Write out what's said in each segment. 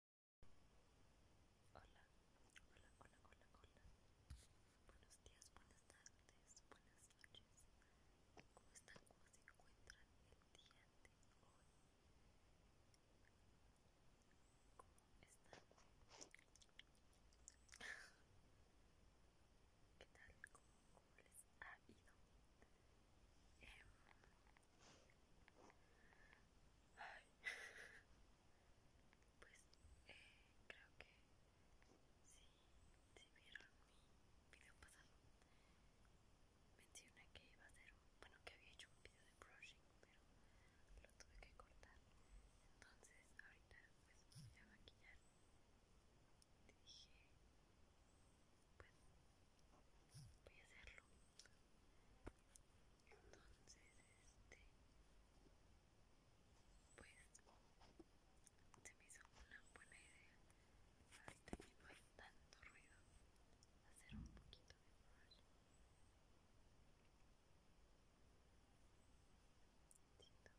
Hola, hola, hola, hola, hola. Buenos días, buenas tardes, buenas noches. ¿Cómo están? ¿Cómo se encuentran el día de hoy? ¿Cómo están? ¿Qué tal? ¿Cómo, les ha ido? Eh, pues creo que si, si vieron mi video pasado, mencioné que iba a hacer, bueno que había hecho un video de brushing, pero lo tuve que cortar. Entonces ahorita pues voy a maquillar. Dije, pues voy a hacerlo entonces este pues se me hizo una buena idea ahorita que no hay tanto ruido hacer un poquito de brush se escucha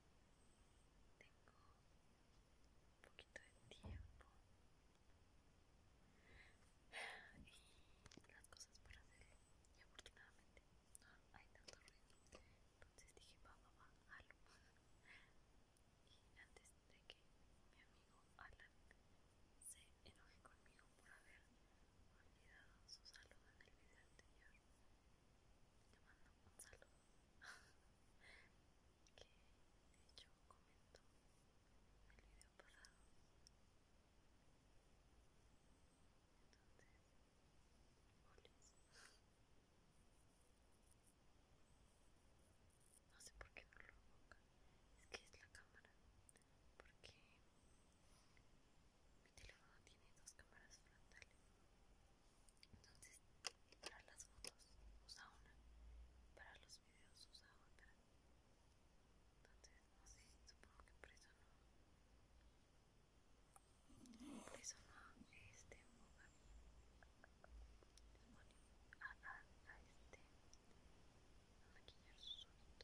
tengo un poquito de tiempo y las cosas para hacer y afortunadamente no hay tanto ruido entonces dije vamos a y antes de que mi amigo Alan se enoje conmigo por haber olvidado su saludo en el video anterior te mando un saludo que de hecho comentó en el video pasado entonces olis no sé por qué no lo enfoca es que es la cámara porque mi teléfono tiene dos cámaras frontales. Entonces, para las fotos usa una, para los videos usa otra. Entonces, no sé, supongo que por eso no. Por eso no este A, este. A maquillar sus sonidos.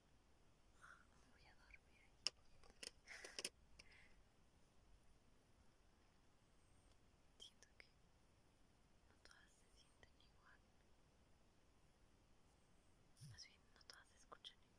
voy a dormir Siento que no todas se sienten igual. Más bien, no todas se escuchan igual.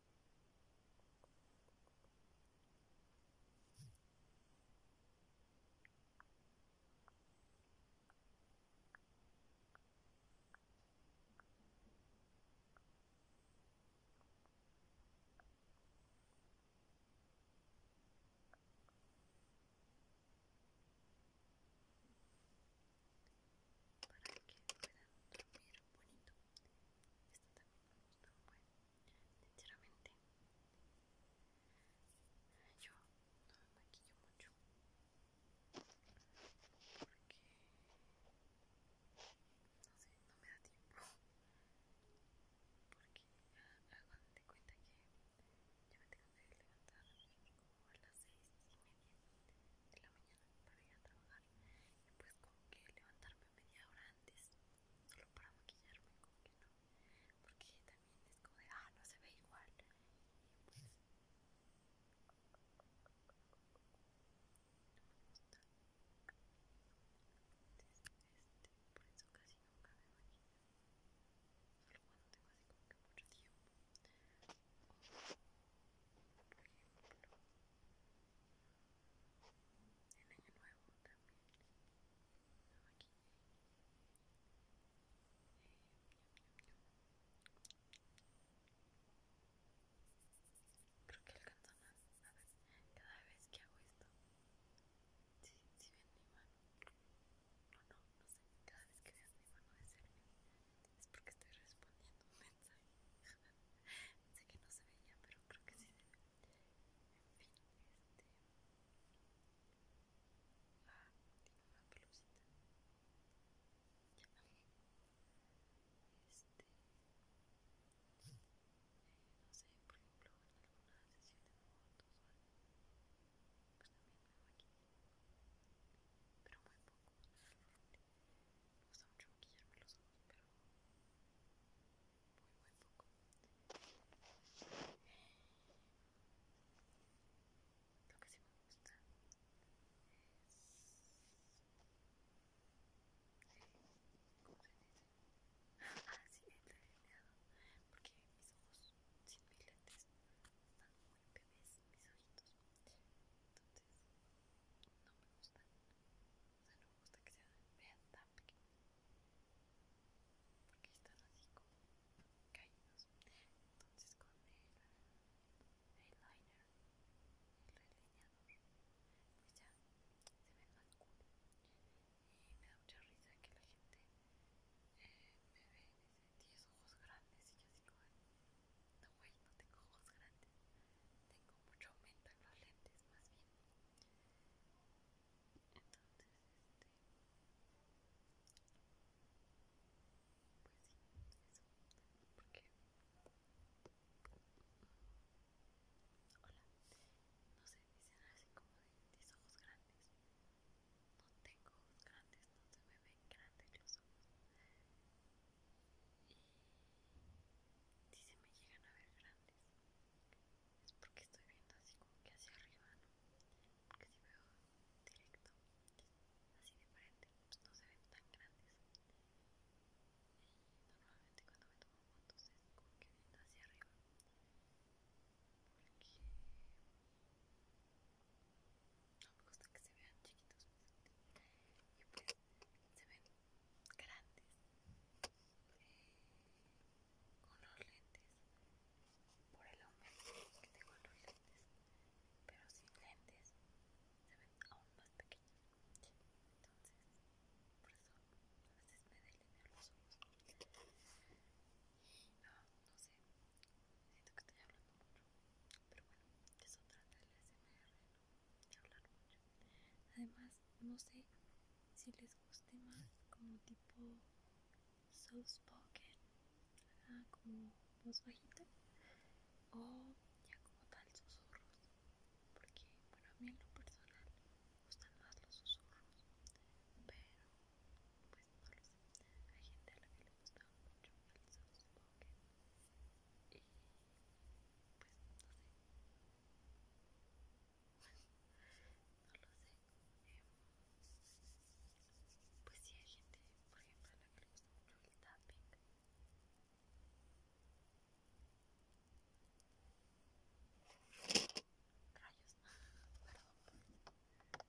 para que puedan dormir bonito esta también me gusta un buen sinceramente yo no me maquillo mucho porque no sé, no me da tiempo porque hago de cuenta que yo me tengo que levantar como a las seis y media de la mañana para ir a trabajar y pues como que levantarme media hora antes solo para maquillarme como que no porque también es como de ah no se ve igual pues este, por eso casi nunca me maquillo solo cuando tengo como en año nuevo también Creo que alcanzó más. cada vez que hago esto, si sí, si ven mi mano, no, no, no sé, cada vez que vean mi mano de es porque estoy respondiendo mensaje. Pensé que no se veía, pero creo que sí En fin, este. Ah, tiene una pelucita. Ya. Este. Eh, no sé, por ejemplo, en alguna sesión de fotos o Pues también me hago aquí. Pero muy poco. Me gusta mucho maquillarme los ojos, pero muy, muy poco. Lo que sí me gusta es. ¿Cómo el delineado. Porque mis ojos sin mis lentes están muy bebés, mis ojitos entonces no me gustan no me gusta que se vean tan pequeños porque están así como caídos entonces con el eyeliner el delineador. pues ya se ven más cool y me da mucha risa que la gente me ve y dice ojos grandes y yo así no, güey, no tengo ojos grandes. Tengo mucho aumento en los lentes, más bien. Entonces, este. Pues sí, eso. Porque. Hola. No sé, dicen así como de mis ojos grandes. No tengo ojos grandes, no se me ven grandes los ojos. Si se me llegan a ver grandes, es porque estoy viendo así como que hacia arriba, ¿no? Porque si veo directo, así de frente, pues no se ven tan grandes. Y normalmente cuando me tomo fotos es como que viendo hacia arriba, porque no me gusta que se vean chiquitos y pues se ven grandes con los lentes por el aumento que tengo los lentes pero sin lentes se ven aún más pequeños entonces por eso a veces me delinean los ojos no, no sé siento que estoy hablando mucho pero bueno, eso trata el SMR, ¿no? de hablar mucho. Además, no sé si les guste más como tipo soft spoken, ah, como voz bajita, o ya como tal susurros, porque bueno, a mí en lo personal me gustan más los susurros, pero no lo sé. Hay gente a la que le gustan mucho el softball y pues no sé. no lo sé. pues sí hay gente, por ejemplo, a la que le gusta mucho el tapping. Rayos, perdón.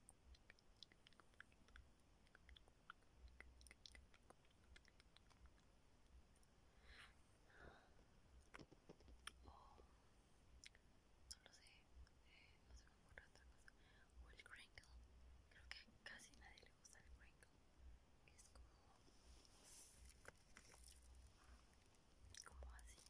no lo sé, eh, no se me ocurre otra cosa. O el crinkle, creo que casi nadie le gusta el crinkle. Es como, como así,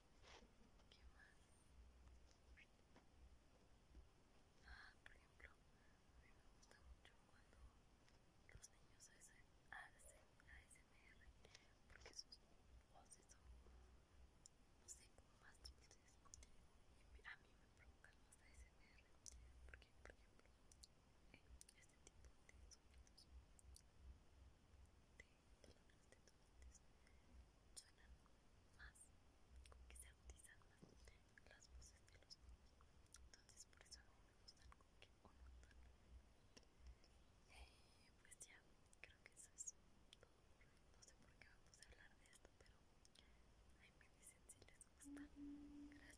¿Qué más? Ah, por ejemplo, a mí me gusta mucho cuando los niños hacen ASMR porque sus voces son, no sé, como más dulces. a mí me provocan más ASMR porque, por ejemplo, este tipo de sonidos los detonates suenan más, como que se agudizan más las voces de los niños. Entonces, por eso no me gustan como que un Eh, pues ya, creo que eso es todo por hoy. No sé por qué vamos a hablar de esto, pero ahí me dicen si les gusta. Gracias, se cuidan. Bye.